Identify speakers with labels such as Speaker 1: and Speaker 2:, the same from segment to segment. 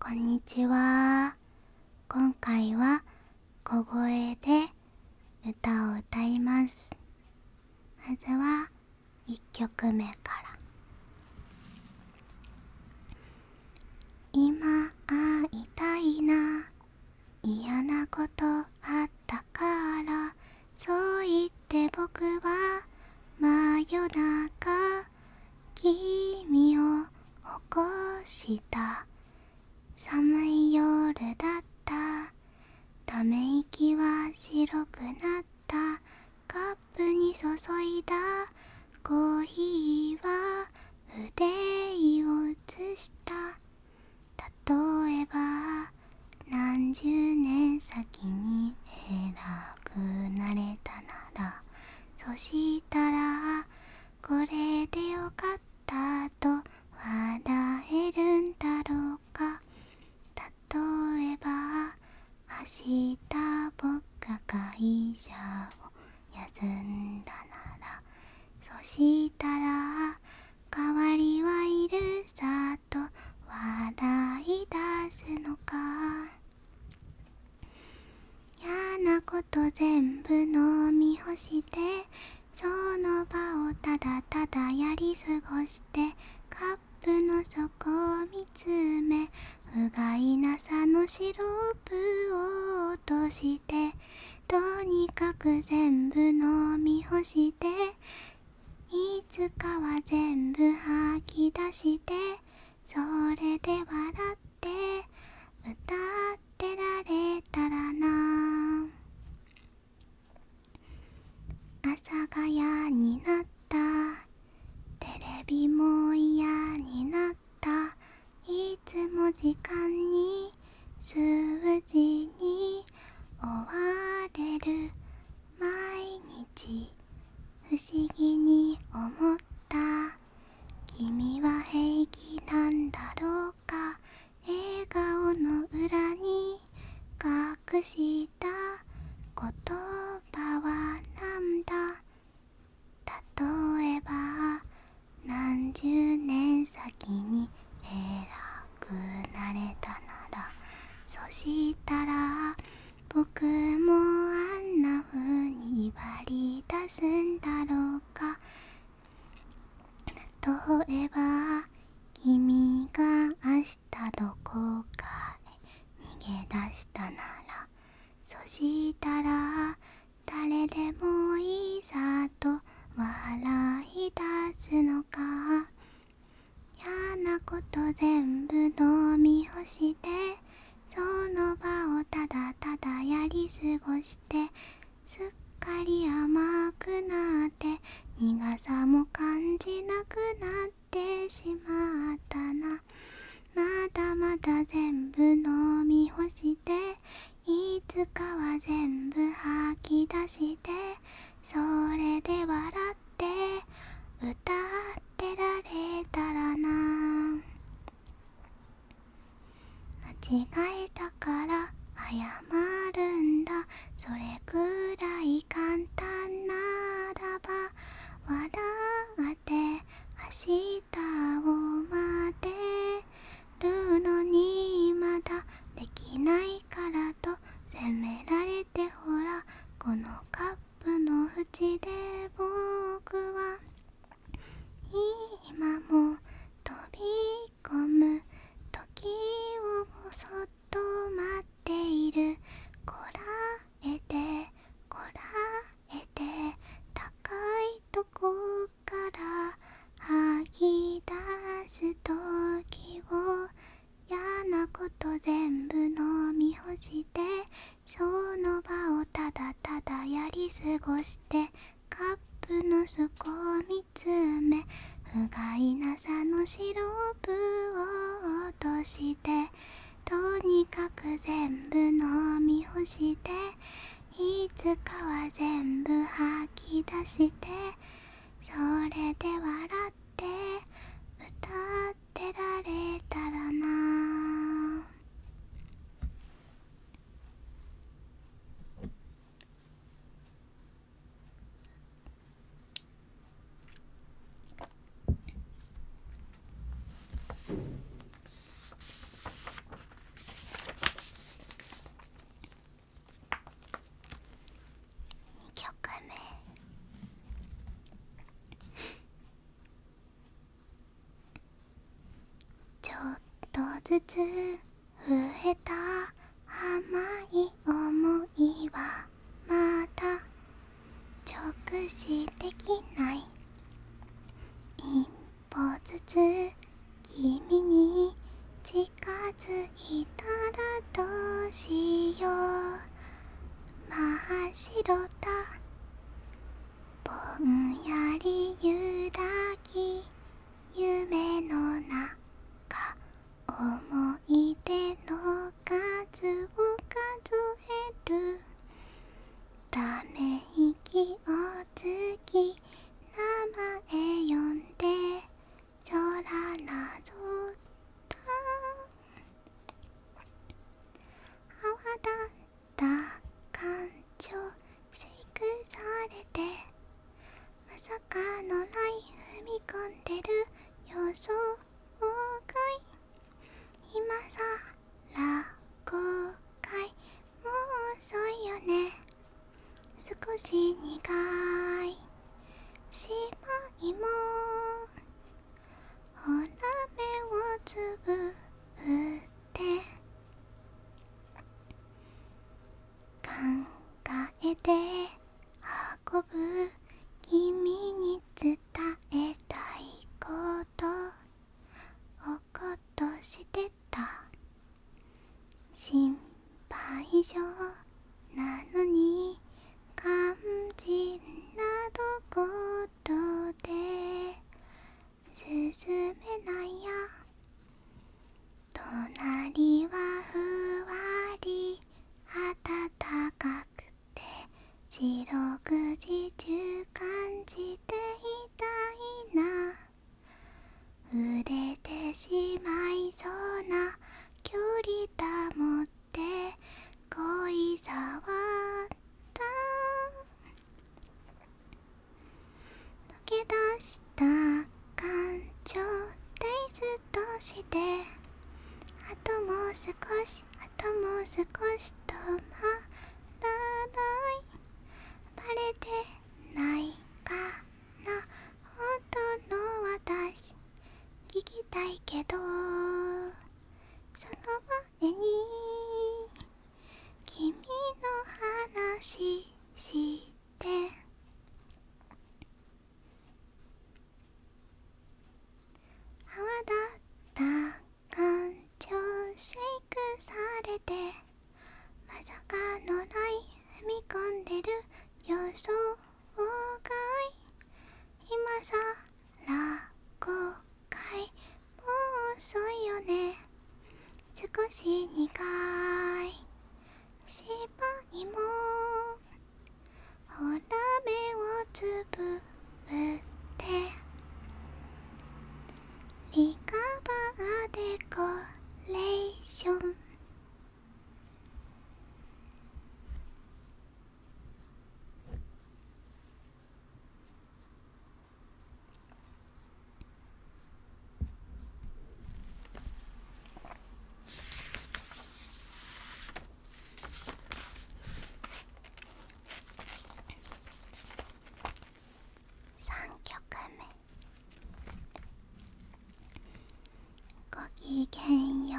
Speaker 1: こんにちは今回は小声で歌を歌いますまずは1曲目から「今会いたいな嫌なことあったから」そう言って僕は真夜中君を起こした寒い夜だったため息は白くなったカップに注いだコーヒーは憂いを移した例えば何十年先に偉くなれたならそしたらこれでよかったと笑えるんだろうか例えば明日僕が会社を休んだならそしたら代わりはいるさと笑い出すのか嫌なこと全部飲み干してその場をただただやり過ごしてカップの底を見つめ不甲斐なさのシロップを落としてとにかく全部飲み干していつかは全部吐き出してそれで笑って歌ってられたらな阿佐ヶ谷になったテレビも嫌になったいつも時間に数字に追われる毎日不思議に思った君は平気なんだろうか笑顔の裏に隠した言葉はなんだ例えば何十年先に偉くなれたならそしたら僕もあんな風に割り出すんだろうか例えば君が明日どこかへ逃げ出したならそしたら誰でもいざと笑い出すのか嫌なこと全部飲み干してその場をただただやり過ごしてすっかり甘くなって苦さも感じなくなってしまったなまだまだ全部飲み干していつかは全部吐き出してそれで笑って歌っってられたらな間違えたから謝るんだそれくらい簡単ならば笑って明日を待ってるのにまだできないからと責められてほらこのカップの縁で僕は今も飛び込む時をもそっと待っているこらえてこらえて高いとこから吐き出す時を嫌なこと全部飲み干してその場をただただやり過ごしてカップの底を見つめ不甲斐なさのシロップを落としてとにかく全部飲み干していつかは全部吐き出してそれで笑って歌っられたらな2曲目ちょっとずつ増えた甘い思いはまだ直視できない一歩ずつ君に近づいたらどうしよう真っ白だぼんやりゆだき夢の中思い出の数を数えるため息をつき名前呼んで空なぞった泡だた感情しクされてまさかのライン踏み込んでる予想外今さら後悔もう遅いよね少し苦い芝居もおら目をつぶって考えて運ぶ君に伝えたいことおことしてた心配性なのに肝心など。ことで進めないや隣はふわり暖かくて四六時中感じていたいな触れてしまいそうな距離保って恋さはっけ出した感情デイストしてあともう少しあともう少し止まらないバレてないかな本当の私聞きたいけどその場胸に君の話して泡立った感情シェイクされてまさかのラ踏み込んでる予想外今さ落語会もう遅いよね少し苦い芝にもほら目をつぶってリカバーデコレーション3曲目「ごきげんよう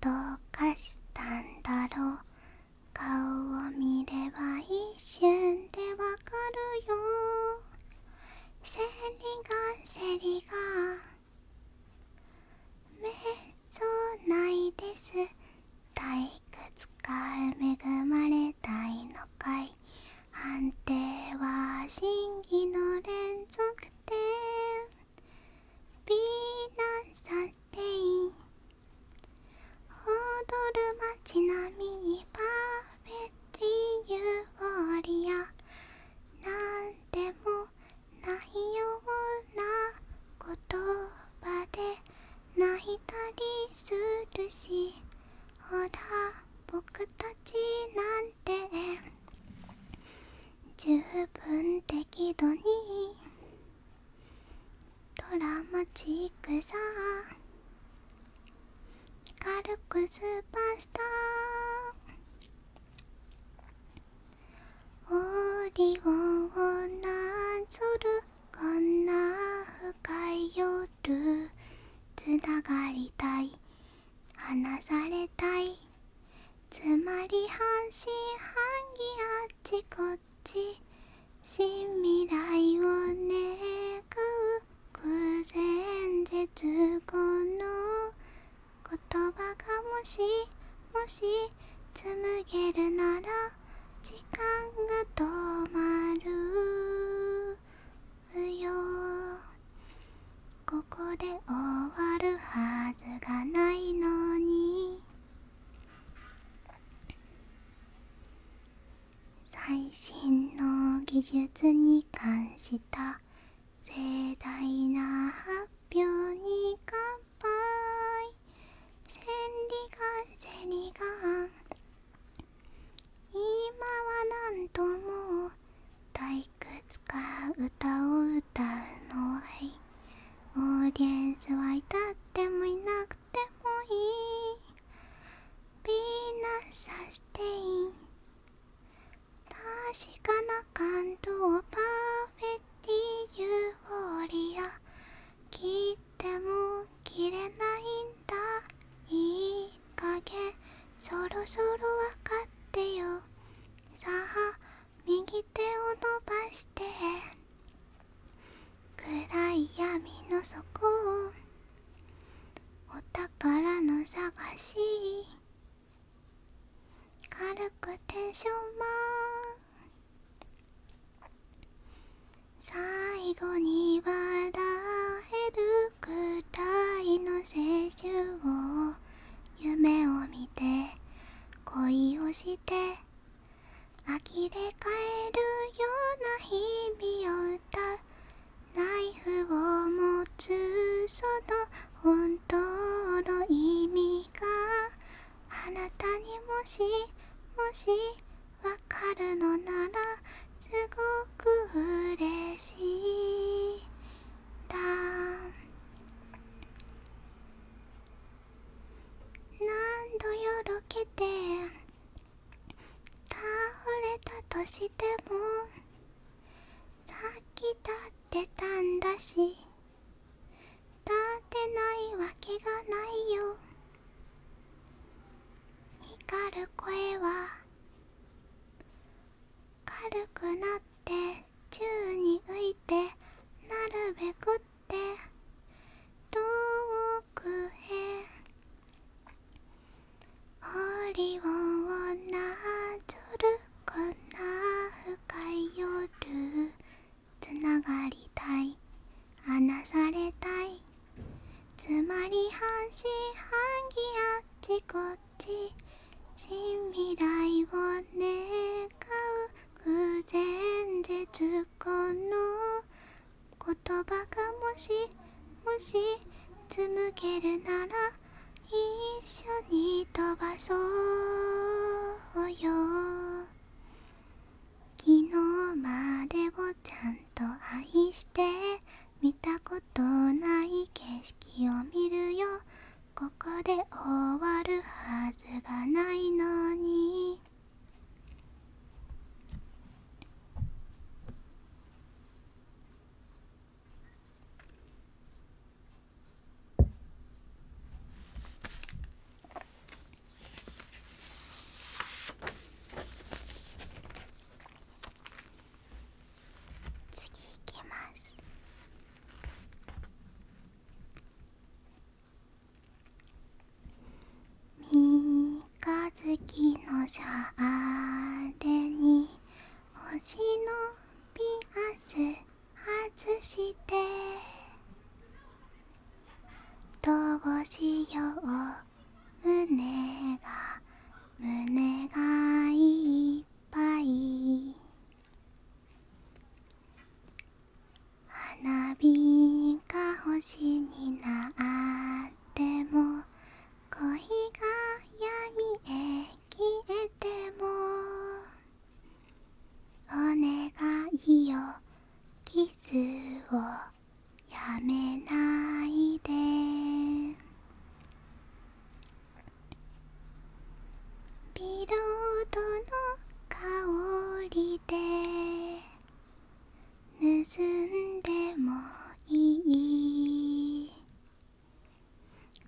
Speaker 1: どうかしたんだろう」顔を見れば一瞬でわかるよセリがセリがめっそうないです退屈から恵まれたいのかい判定は真偽の連続点美男さんペイン」「踊る街並みパーフェクティユーオリア」「なんでもないような言葉で泣いたりするし」「ほら僕たちなんて」十分適度にドラマチックさ軽くスーパースタオリゴンをなぞるこんな深い夜つながりたい離されたいつまり半信半疑あっちこっ新未来を願う偶然絶後の言葉がもしもし紡げるなら時間が止まるよここで終わるはずがないのに最新の技術に関した盛大な発表に乾杯千里眼千里眼今は何んとも退屈か歌を歌うのはオーディエンスは至ってもいなくてもいいピーナッサステイン確かな感動パーフェクティユーフォリア切っても切れないんだいい加減そろそろわかってよさあ右手を伸ばして暗い闇の底お宝の探し軽くテンショマン最後に笑えるくらいの青春を夢を見て恋をして呆れかえるような日々を歌うナイフを持つその本当の意味があなたにもしもしわかるのならすごく嬉しいだ何度よろけて倒れたとしてもさっき立ってたんだし立ってないわけがないよ光る声は軽くなって宙に浮いてなるべくっ遠くへ檻をなぞるこんな深い夜つながりたい離されたいつまり半信半疑あっちこっち新未来を願う偶然絶この言葉がもしもしつむけるなら一緒に飛ばそうよ昨日までをちゃんと愛して見たことない景色を見るよここで終わるはずがないのに次いきます三日月のシャーレに星のピアス外してどうしよう胸が胸がいっぱい花火が星になっても恋が闇へ消えてもお願いよキスをやめないでピロードの香りで盗んでもいい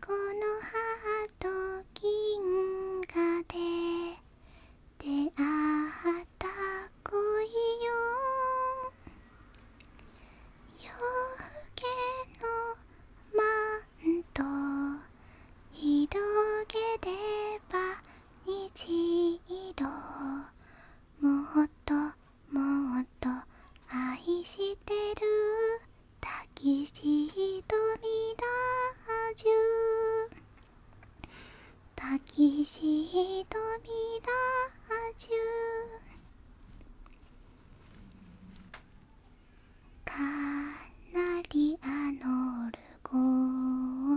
Speaker 1: このハート銀河で出会った恋よ夜更けのマント広げれば虹色もっともっと愛してるたきしードミラージュタキシードミラージュかなりあのオ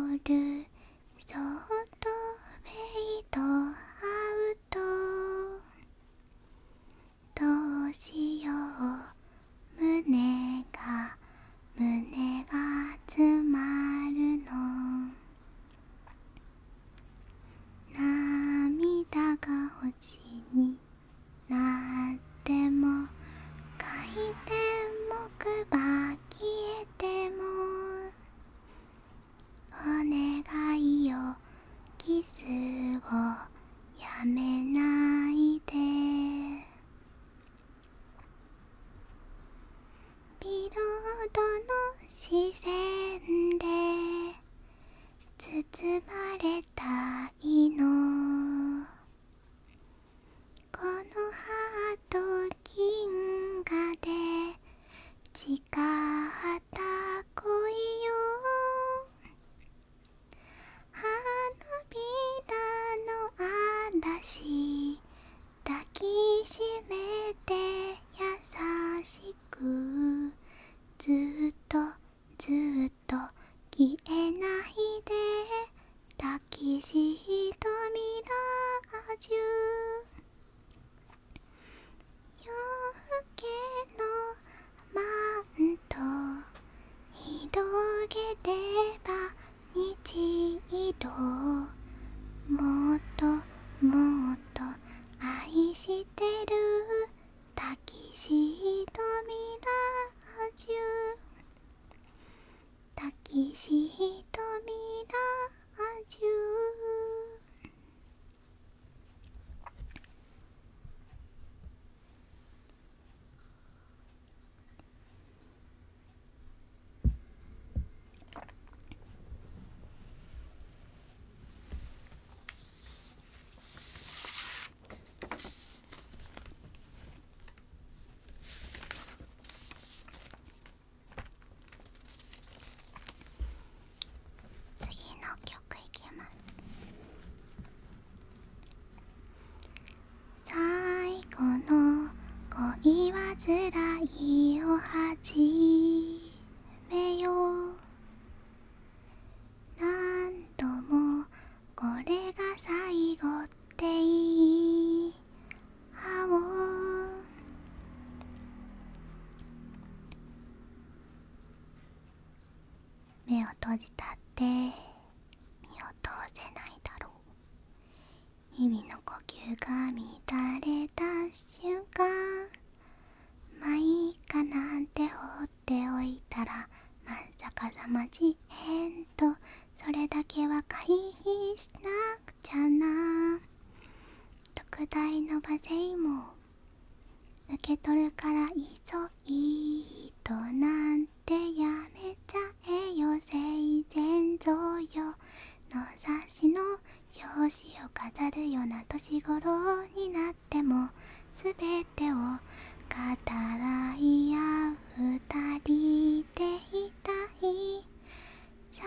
Speaker 1: ゴールショートフェイドアウトどうしよう胸が胸が詰まるの涙が星になっても回転木馬消えてもお願いよキスをやめないでビロードの視線で包まれたいのこのハート銀河で誓った恋よ花びらの嵐抱きしめて優しくずっとずっと消えないで抱きし瞳ラジュ夜更けのマント広げれば虹色もっともっと愛してるタキシードミラージュ「たきしひとみらまじゅう」次の曲いきます最後の恋はつらいを始めよう何度もこれが最後って言いあお目を閉じたって身を通せないだろう日々の呼吸が乱れた瞬間まあいいかなんて放っておいたらまんさかさまじえんとそれだけは回避しなくて。くゃな特大の馬勢も受け取るから急いとなんてやめちゃえよ生前贈与の冊子の表紙を飾るような年頃になっても全てを語らい合う二人でいたい最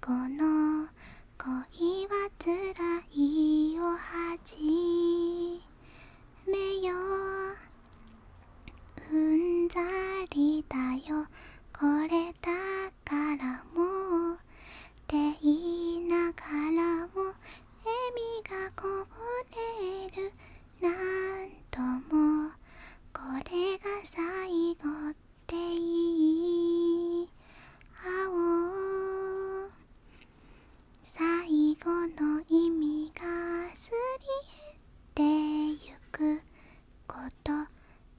Speaker 1: 後の恋はつらいを始めよううんざりだよこれだからもうって言いながらも笑みがこぼれるなんともこれが最後っていい青最後の意味がすり減ってゆくこと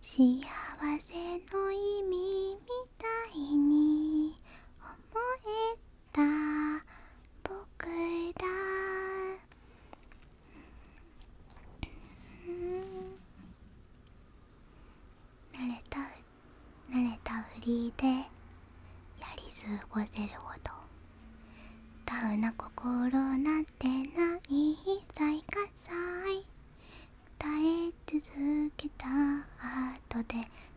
Speaker 1: 幸せの意味みたいに思えた僕ら慣れた慣れたふりでやり過ごせるほどタウな心なんてないさ最下い。耐え続けた後で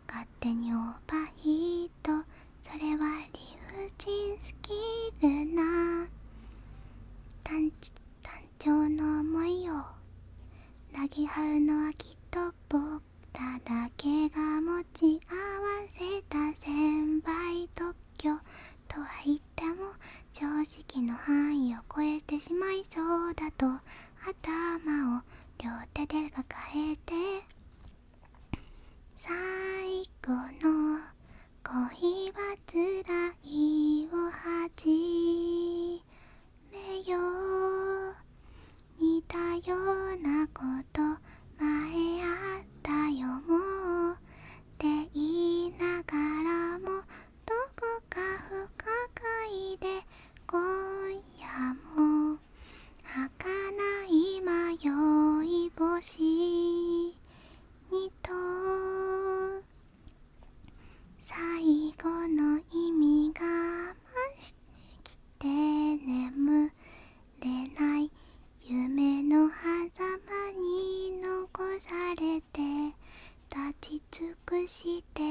Speaker 1: 勝手にオーバーヒートそれは理不尽スキルな単純単情の思いをなぎはうのはきっと僕らだけが持ち合わせた先輩特許とは言っても常識の範囲を超えてしまいそうだと頭を両手で抱えて最後の恋は辛いをはじめよう似たようなこと前あったよもうって言いながらもどこか不可解で今夜も儚い迷い星にと最後の意味がましてきて眠れない夢の狭間に残されて立ち尽くして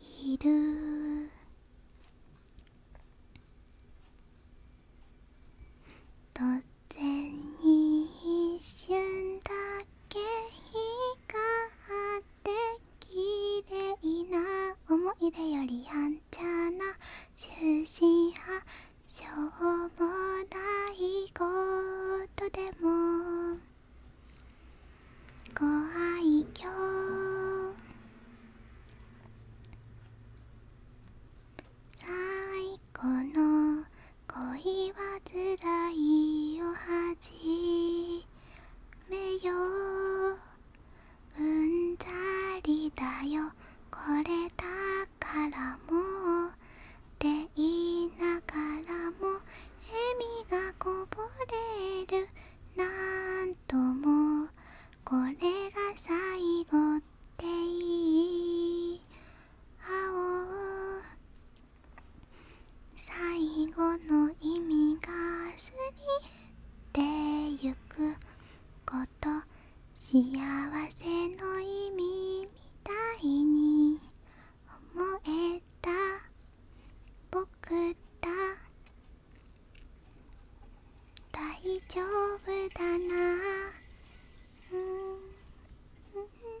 Speaker 1: いるどう全に一瞬だけ光って綺麗な思い出よりやんちゃな終身派しょうもないことでもご愛嬌最この恋はつらいよはじめよううんざりだよこれだからもうって言いながらも笑みがこぼれるなんともこれが最後っていい青最後の意味がすり減てゆくこと幸せの意味みたいに思えた僕だ大丈夫だなうんうん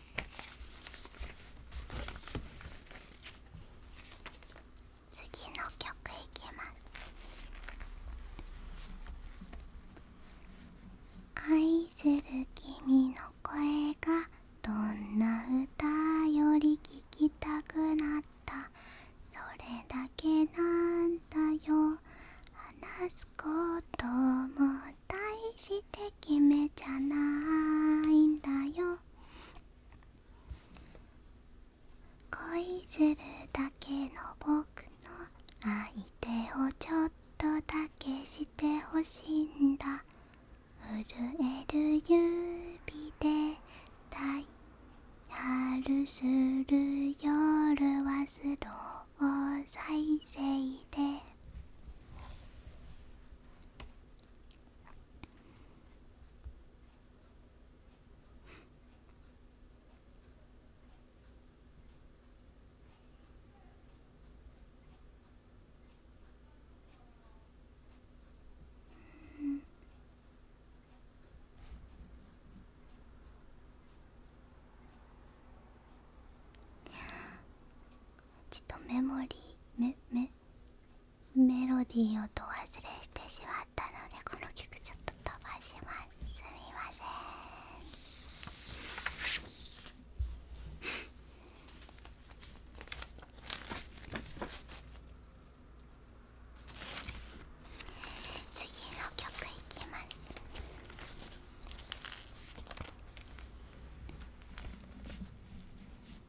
Speaker 1: 次の曲いきます愛する君の声がどんな歌より聴きたくなったそれだけなんだよ話すことも対して決めじゃないんだよ恋するだけの僕の相手をちょっとだけしてほしいんだ震える指でダイヤルする夜はスロー再生でちょっとメモリーメメメロディー音忘れしてしまったのでこの曲ちょっと飛ばしますすみません次の曲いきます「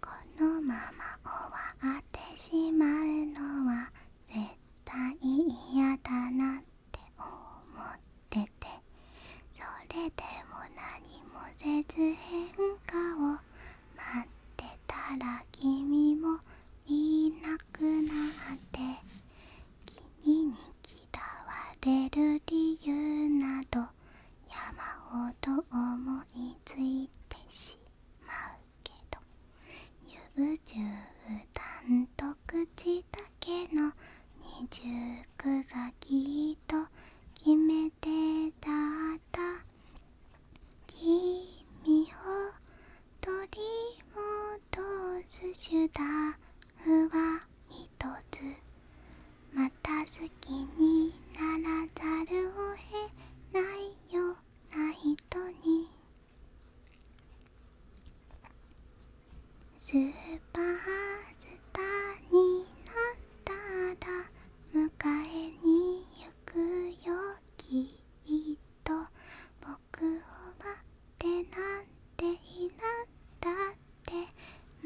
Speaker 1: このまま終わってしまうのは絶対嫌だなって思っててそれでも何もせず変化を待ってたら君もいなくなって君に嫌われる理由など山ほど思いついてしまうけど優柔単独口だけの二重苦がきっと決めてだった君を取り戻す手段は見ひつまた好きにならざるを得ないような人にスーパースターになったら迎えに行くよきっと僕を待ってなんていなったって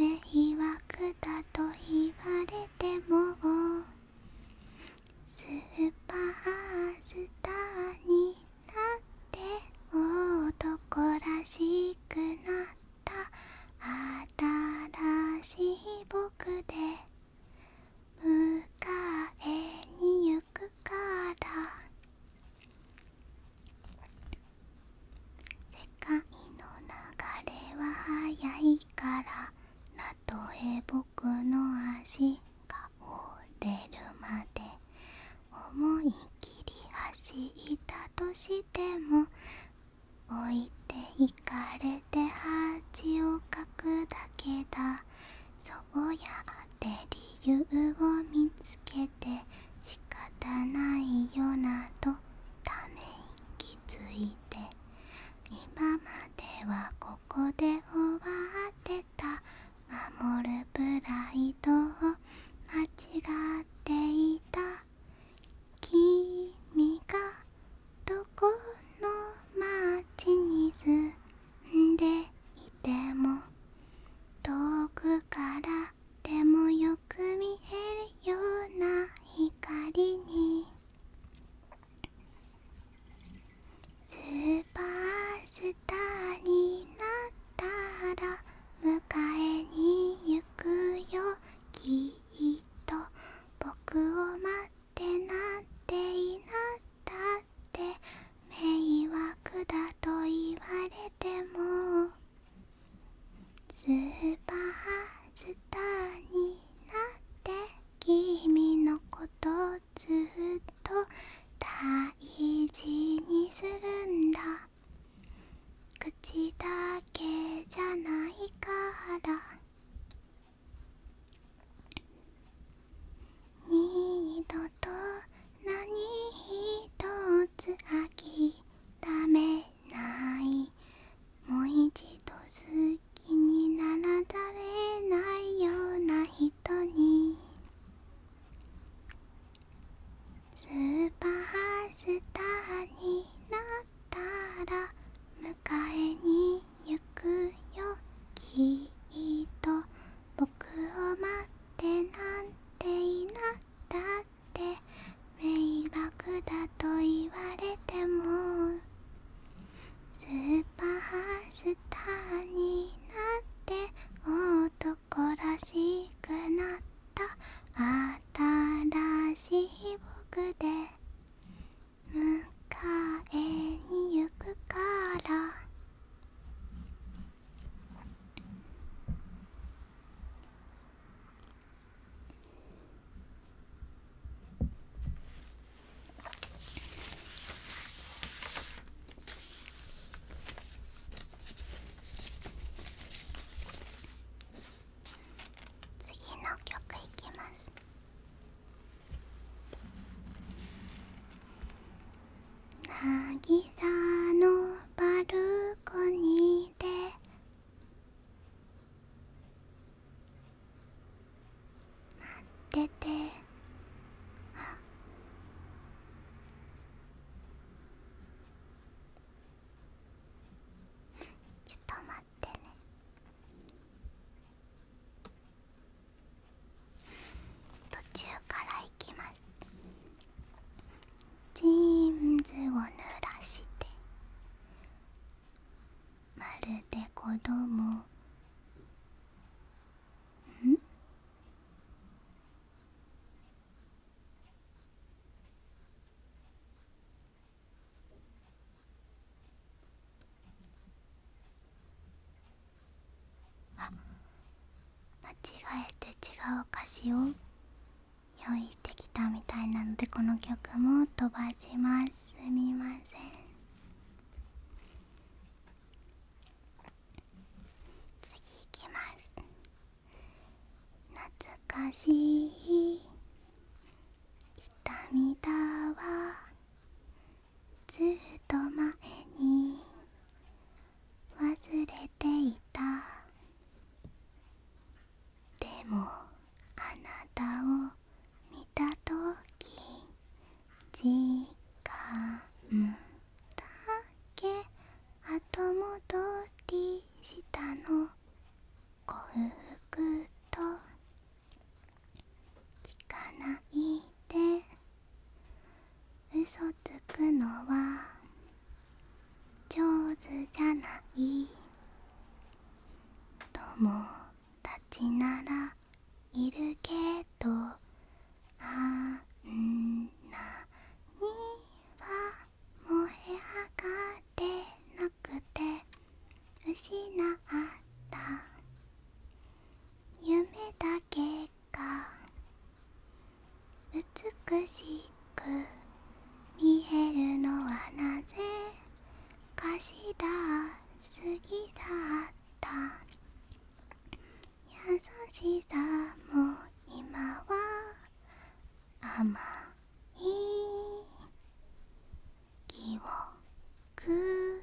Speaker 1: 迷惑だと言われてもスーパースターになって男らしくなった新しい僕で迎えに行くから「世界の流れは速いから」「たとえ僕の足が折れるまで」「思いきり走ったとしても」「置いていかれて恥をかくだけだ」そうやって理由を見つけて仕方ないよなとため息ついて今まではここで終わってた守るプライドを間違っていた君がどこの町に住んでいても遠くからでもよく見えるような光に」「スーパースターになったら迎えに行くよきっと僕を待ってなっていなったって迷惑だと言われても」スーパースターになって君のことずっと大事にするんだ口だけじゃないから二度と何一つ諦めないもう一度好きにならざれないような人にスーパースターになったら迎えに行くよきっと僕を待ってなんていなだっって迷惑だと言われてもスーパースターになって男らしくなった新しい僕で迎えに行くから次の曲いきます「なぎさのバルコニーで待っててあちょっと待ってね途中から行きますジーンズを濡らしてまるで子供んあ間違えて違う歌詞を用意してきたみたいなのでこの曲も飛ばしますすみません次いきます懐かしい痛みだわずっと前に忘れていたでもあなたを見たとき時間だけ後戻りしたのごふくと聞かないで嘘つくのは上手じゃない友達ならいるけどあんなには燃え上がれなくて失った夢だけが美しいく見えるのはなぜかしらすぎだった優しさも今はあまい記憶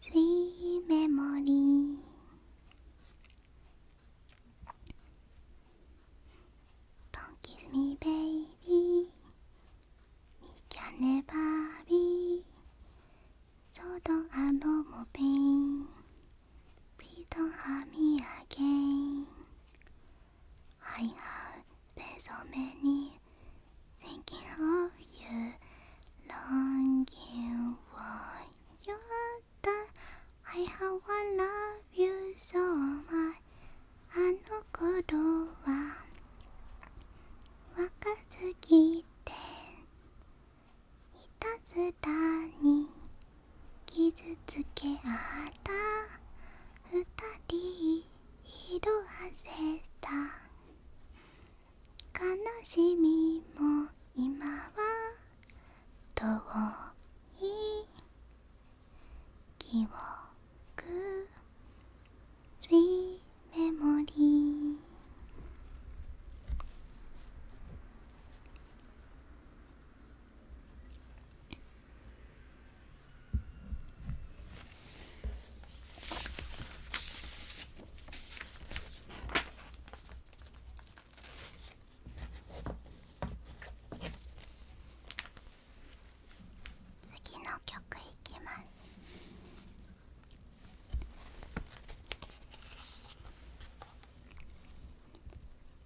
Speaker 1: スイーメモリー Don't kiss me, baby. We can never be. So don't have no more pain. Please don't hurt me again. I have been so many thinking of you, longing for your touch. I have one love you so much. あの頃は若すぎていたずらに傷つけあった二人色あせた悲しみも今は遠い記憶スリーメモリー次の曲いきます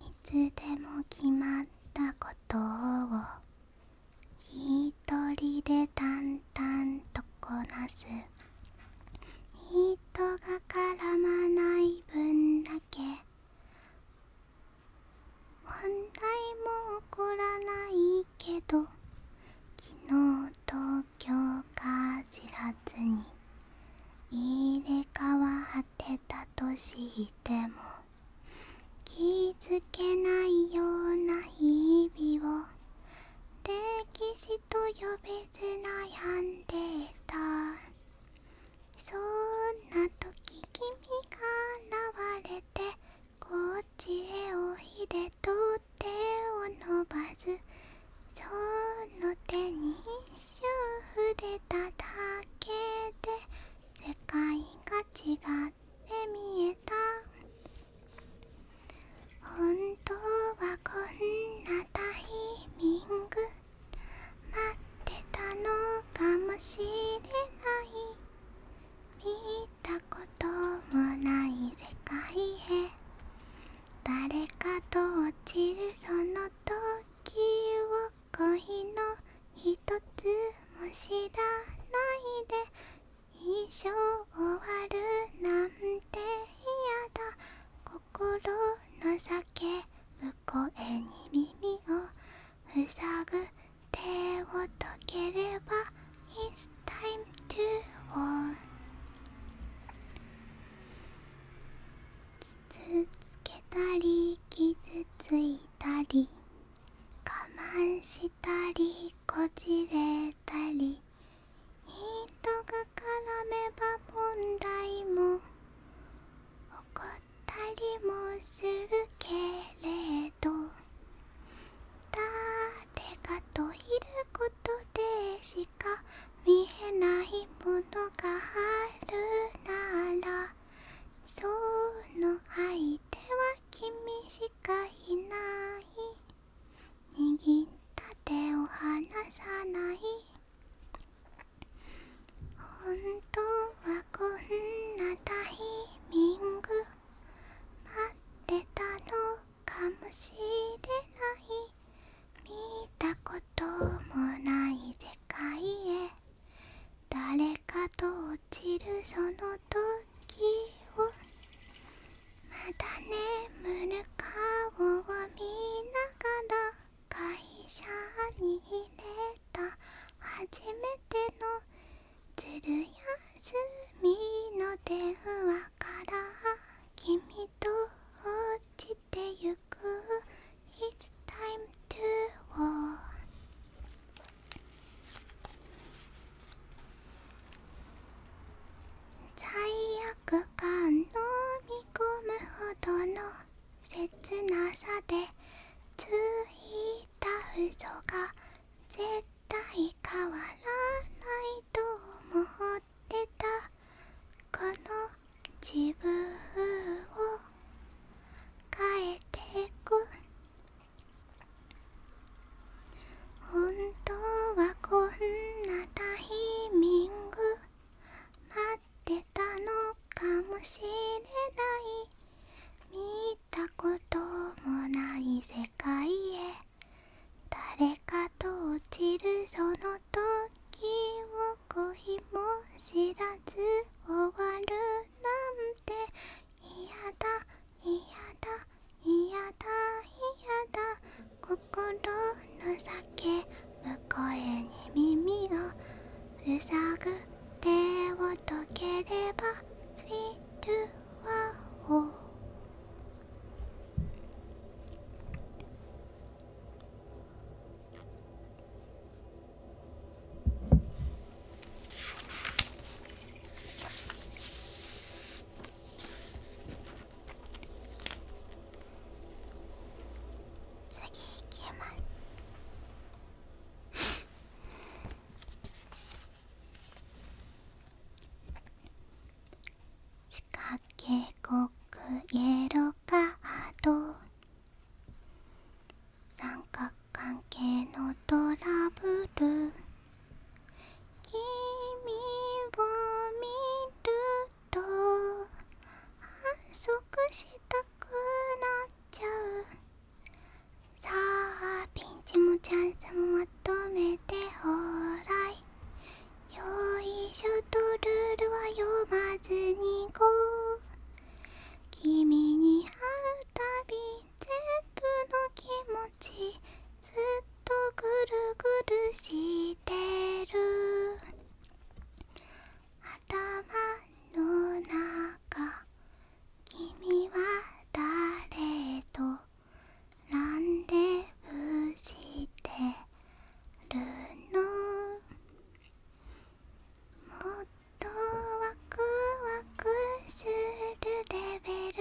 Speaker 1: いつでも決まったことを一人で淡々とこなす人が絡まない分だけ問題も起こらないけど昨日東京か知らずに入れ替わってたとしても気づけないような日々を歴史と呼べず悩んでいたそんな時君が現れてこっちへおいでと手を伸ばすその手に一瞬触れただけで世界が違って見えた本当はこんなタイミング待ってたのかもしれない」「見たこともない世界へ」「誰かと落ちるその時を恋のひつも知らないで」「一生終わるなんて嫌だ」「心の叫ぶ声に耳を塞ぐ手をとければイ t s タ i m e to f a l 傷つけたり傷ついたり我慢したりこじれたり人が絡めば問題も起こたりもするけれど誰かといることでしか見えないものがあるならその相手は君しかいない握った手を離さない本当はこんなタイミング待ってたのかもしれない見たこともない世界へ誰かと落ちるその時をまだ眠る顔を見ながら会社に入れた初めてのつる休みの電話から君と落ちてゆくいつタイム m e to war 罪悪感飲み込むほどの切なさでついタフ所が絶対変わらないと思ってたこの自分を変えてく本当はこんなタイミング待ってたのかもしれないたこともない世界へ誰かと落ちるその時を恋も知らず終わるなんて嫌だ嫌だ嫌だ嫌だ心の叫ぶ声に耳を塞ぐ手をとければスリー・トゥ・ワ次いきます仕かけごくイエローカード三角関係のトラブル君を見ると反則したくなっちゃうさあピンチもチャンスもまとめてほらいよいしょとルールは読まずにこう君に会うたび全部の気持ちずっとぐるぐるしてる頭の中か君は誰とランデブーしてるのもっとワクワクするレベル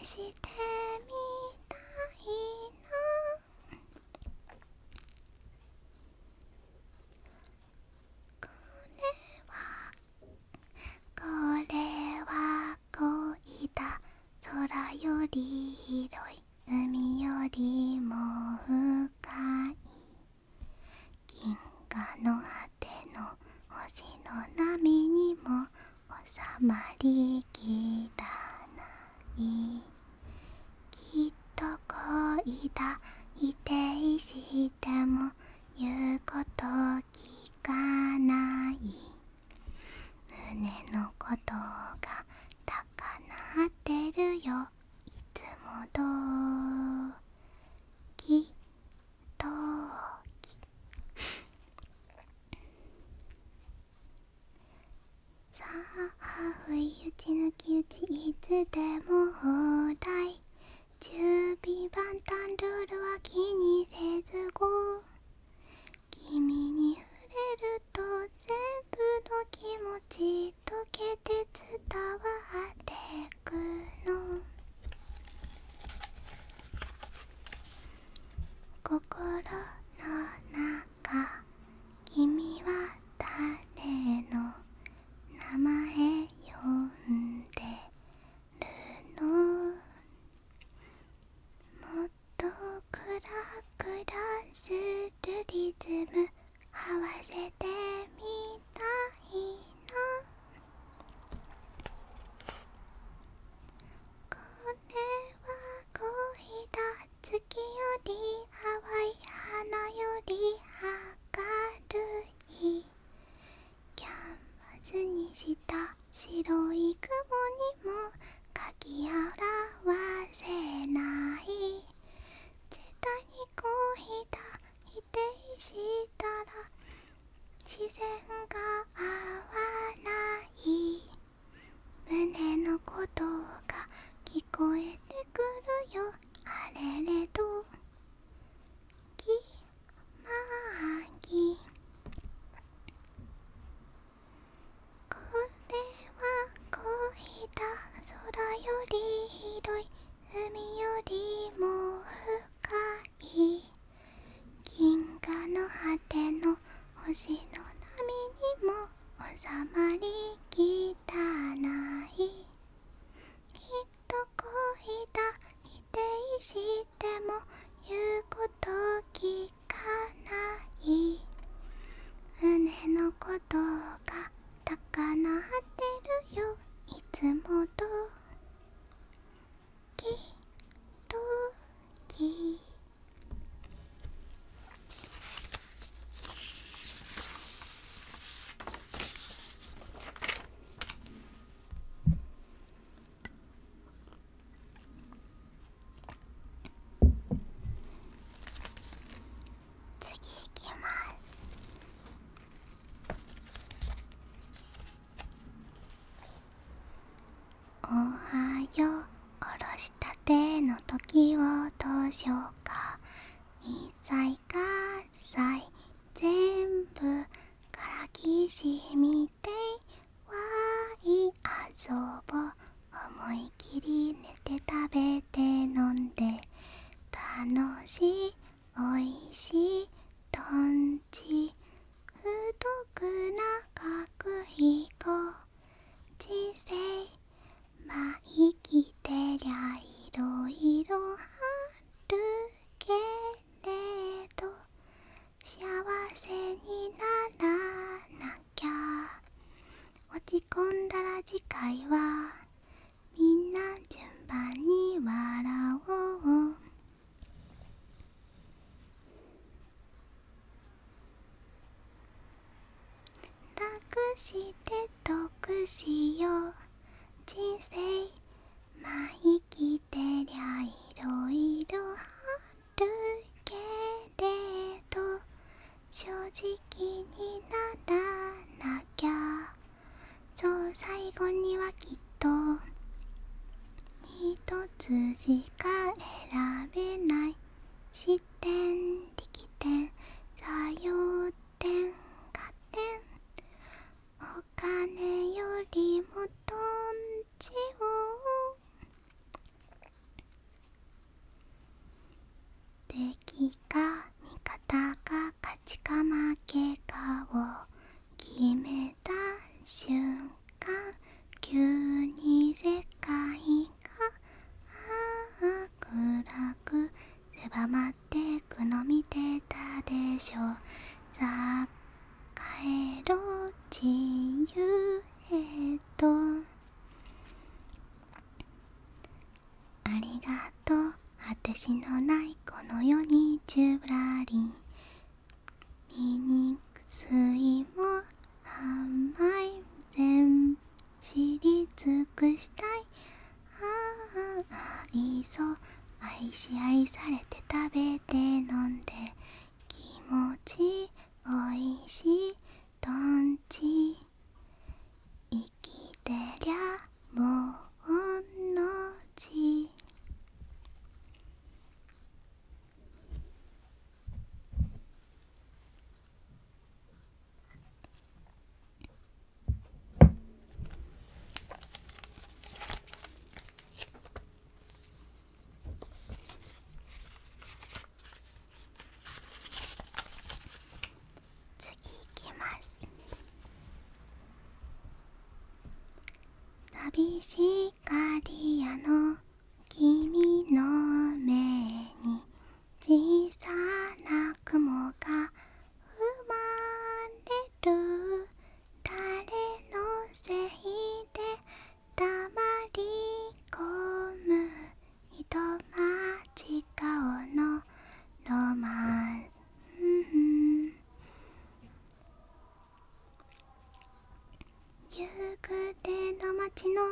Speaker 1: 試してみたいなこれは恋だ空より広い海よりも深い銀河の果ての星の波にも収まりきらないきっと恋だ否定しても言うこと聞かない胸のことが高鳴ってるよいつもどきどきさあ不意打ち抜き打ちいつでも放題準備万端ルールは気にせずご君に触れると全部の気持ち溶けて伝わってくの心の中君は誰の名前呼んでるの」「もっとクラクラするリズム合わせてみたいの。これは恋だ月より淡い花より明るいキャンバスにした白い雲にもかきあらわせない絶対にこうひた否定したら自然が合わない胸のことが聞こえてくるよあれれとぎまぎこれは恋だ空より広い海よりも深い銀河の果ての星の波にも収まりきたないと恋だ否定しても言うこと聞かない船のことが高鳴ってるよいつもときとき「次いきますおはようおろしたての時をどうしようかいさいかさい全部からきしみてわいあそぼ思い切り寝て食べて飲んで楽しいおいしいとんち太く長く飛ちせ、生まあきてりゃいろいろはるけれど幸せにならなきゃ落ち込んだら次回はみんな順番に笑おう楽して得しよう人生まあ生きてりゃいろいろあるけれど正直にならなきゃそう最後にはきっと一つしか選べない視点力点作用点加点お金よりもどんちを敵か味方か勝ちか負けかを決めた瞬間急に世界が暗く狭まっっての見てたでしょさあ帰ろう自由へとありがとう果てしのないこの世にジちゅらり醜いも甘い全知り尽くしたいあいそ愛し愛されて食べて飲んで気持ちおいしいとんち生きてりゃもうのち次いきます寂しがり屋の君の目に小さな雲がまれる誰のせいでたまり込むひと人間顔のロマン夕暮れの街の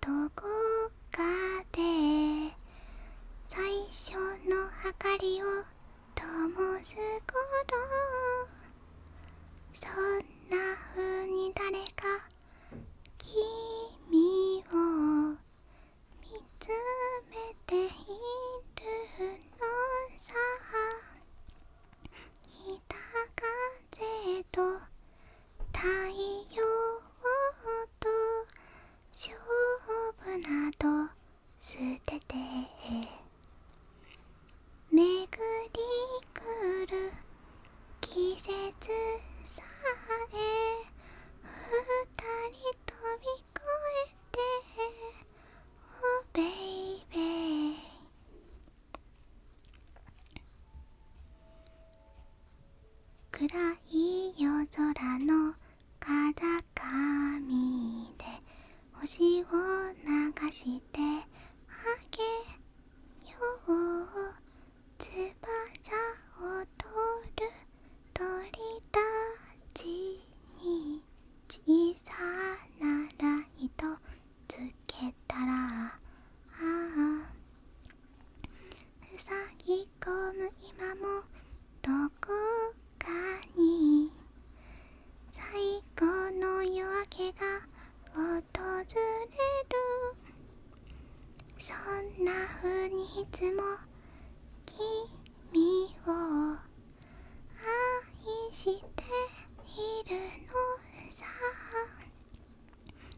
Speaker 1: どこかで最初の明かりをともすこそんなふうに誰か君を見つめているのさ北風と太陽と勝負など捨ててめぐりくる季節さえ二人飛び越えておべいべい暗い夜空の風だかで星を流してあげよう翼を取る鳥たちに小さなライトつけたらあふさぎ込む今もどこかに最高の夜明けが訪れるそんな風にいつも君を愛しているのさ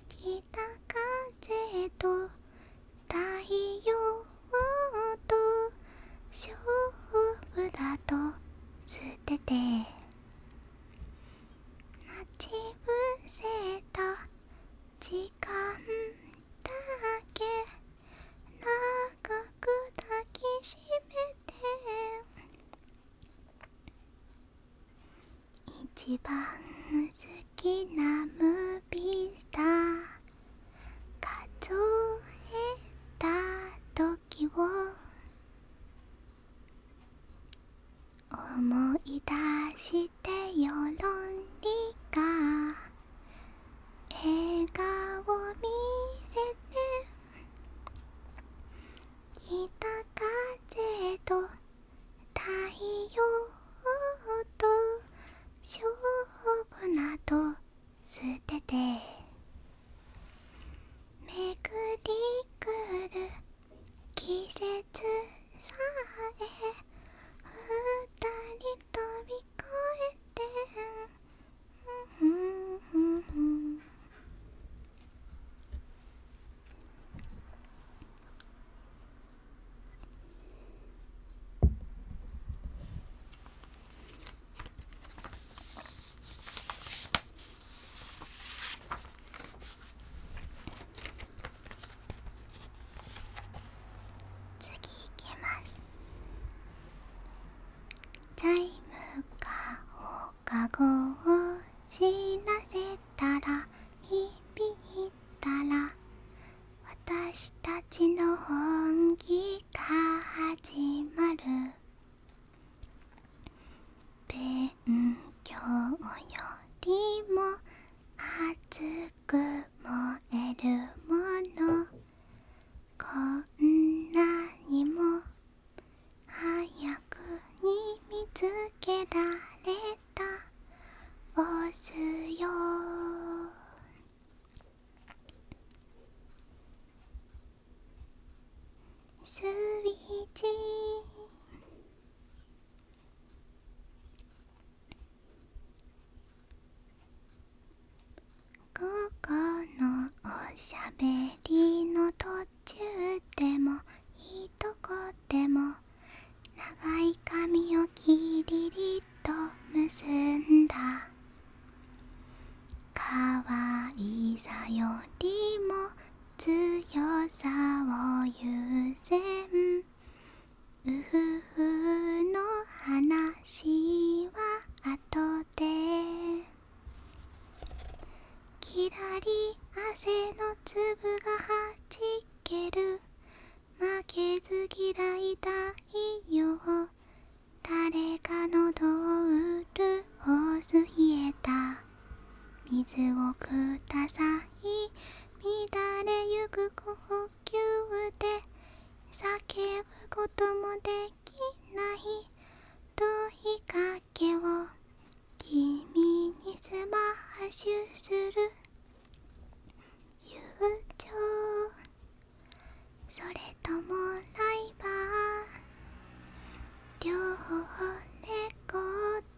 Speaker 1: 北風と太陽と勝負だと捨てて待ち伏せた時間だけ長く抱きしめて一番好きなムービースター数えた時を思い出してよろんりが笑顔見せて北風と太陽と勝負など吸ってて「めぐりくる季節さえ二人飛び越えて」うううんんん。次いきます財務課放課後を知らせたら響いたら私たちの本気が始まる」「勉強よりも熱くもえるもの」「こんなにも早くに見つけられた」「押すよ」スイッチ午後のおしゃべりの途中でもいいとこでも長い髪をキリリりと結んだ可愛さよりも強さを優先うふふの話は後できらり汗の粒がはじける負けず嫌い太よ。誰かのどうるをす冷えた水をください乱れゆく呼吸で叫ぶこともできない問いかけを君にスマッシュする友情それともライバー両方猫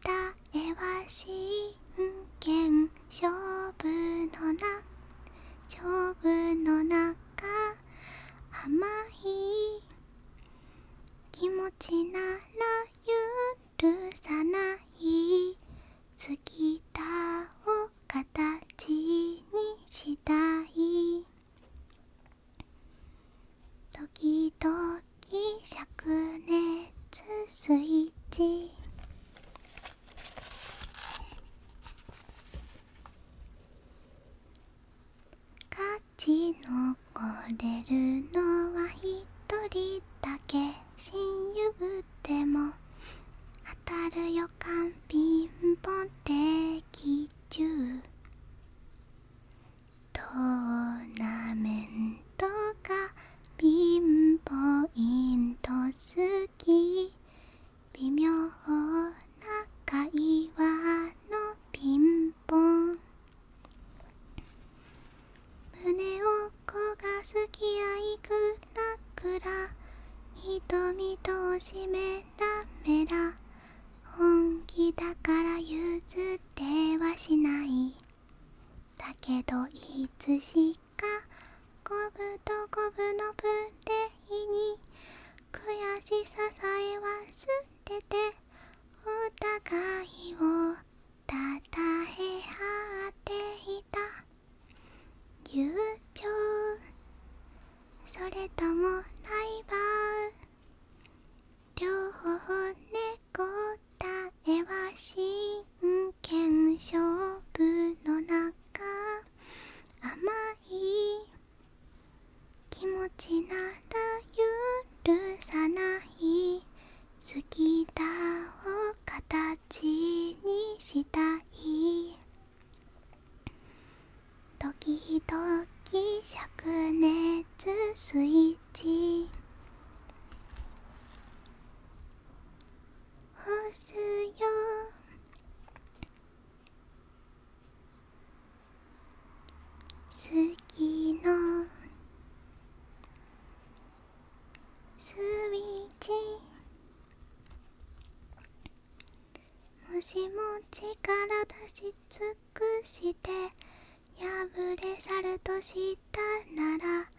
Speaker 1: 答えは真剣勝負のな勝負の中甘い気持ちなら許さない好きだを形にしたい」「時々灼熱スイッチ」「勝ち残れるのは一人だけ」「親友ぶっても」「当たる予感ピンポン的中トーナメントがピンポイント好き微妙な会話のピンポン胸を焦がすき、あいくらくら瞳とおしめラメラ本気だから譲ってはしないだけどいつしか五分と五分のプレに悔しささえは捨ててお互いをたたえ合っていた友情それともライバル両方猫答えは真剣勝負の中甘い気持ちなら許さない好きだを形にしたい「ドキドキ灼熱スイッチ」「押すよ」「好きのスイッチ」もしも力出し尽くして破れ去るとしたなら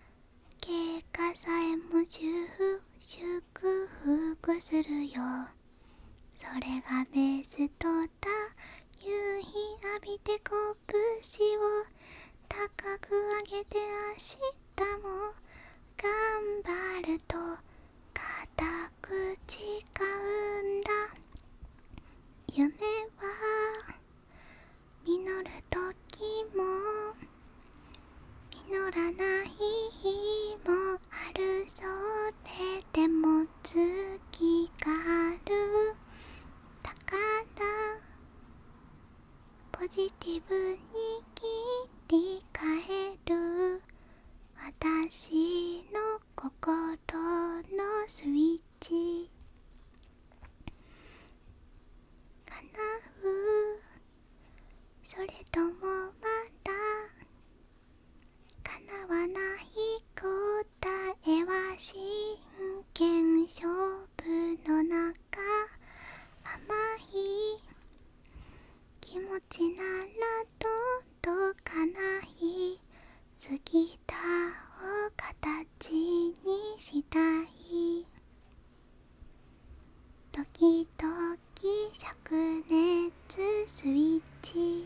Speaker 1: 経過さえも修復するよそれがベースとだ夕日浴びて拳を高く上げて明日も頑張ると固く誓うんだ夢は実る時も実らない日もあるそれでも月があるだからポジティブに切り替える私の心のスイッチかなうそれともまた？叶わない答えは真剣勝負の中甘い気持ちなら届かない過ぎたを形にしたい時々灼熱スイッチ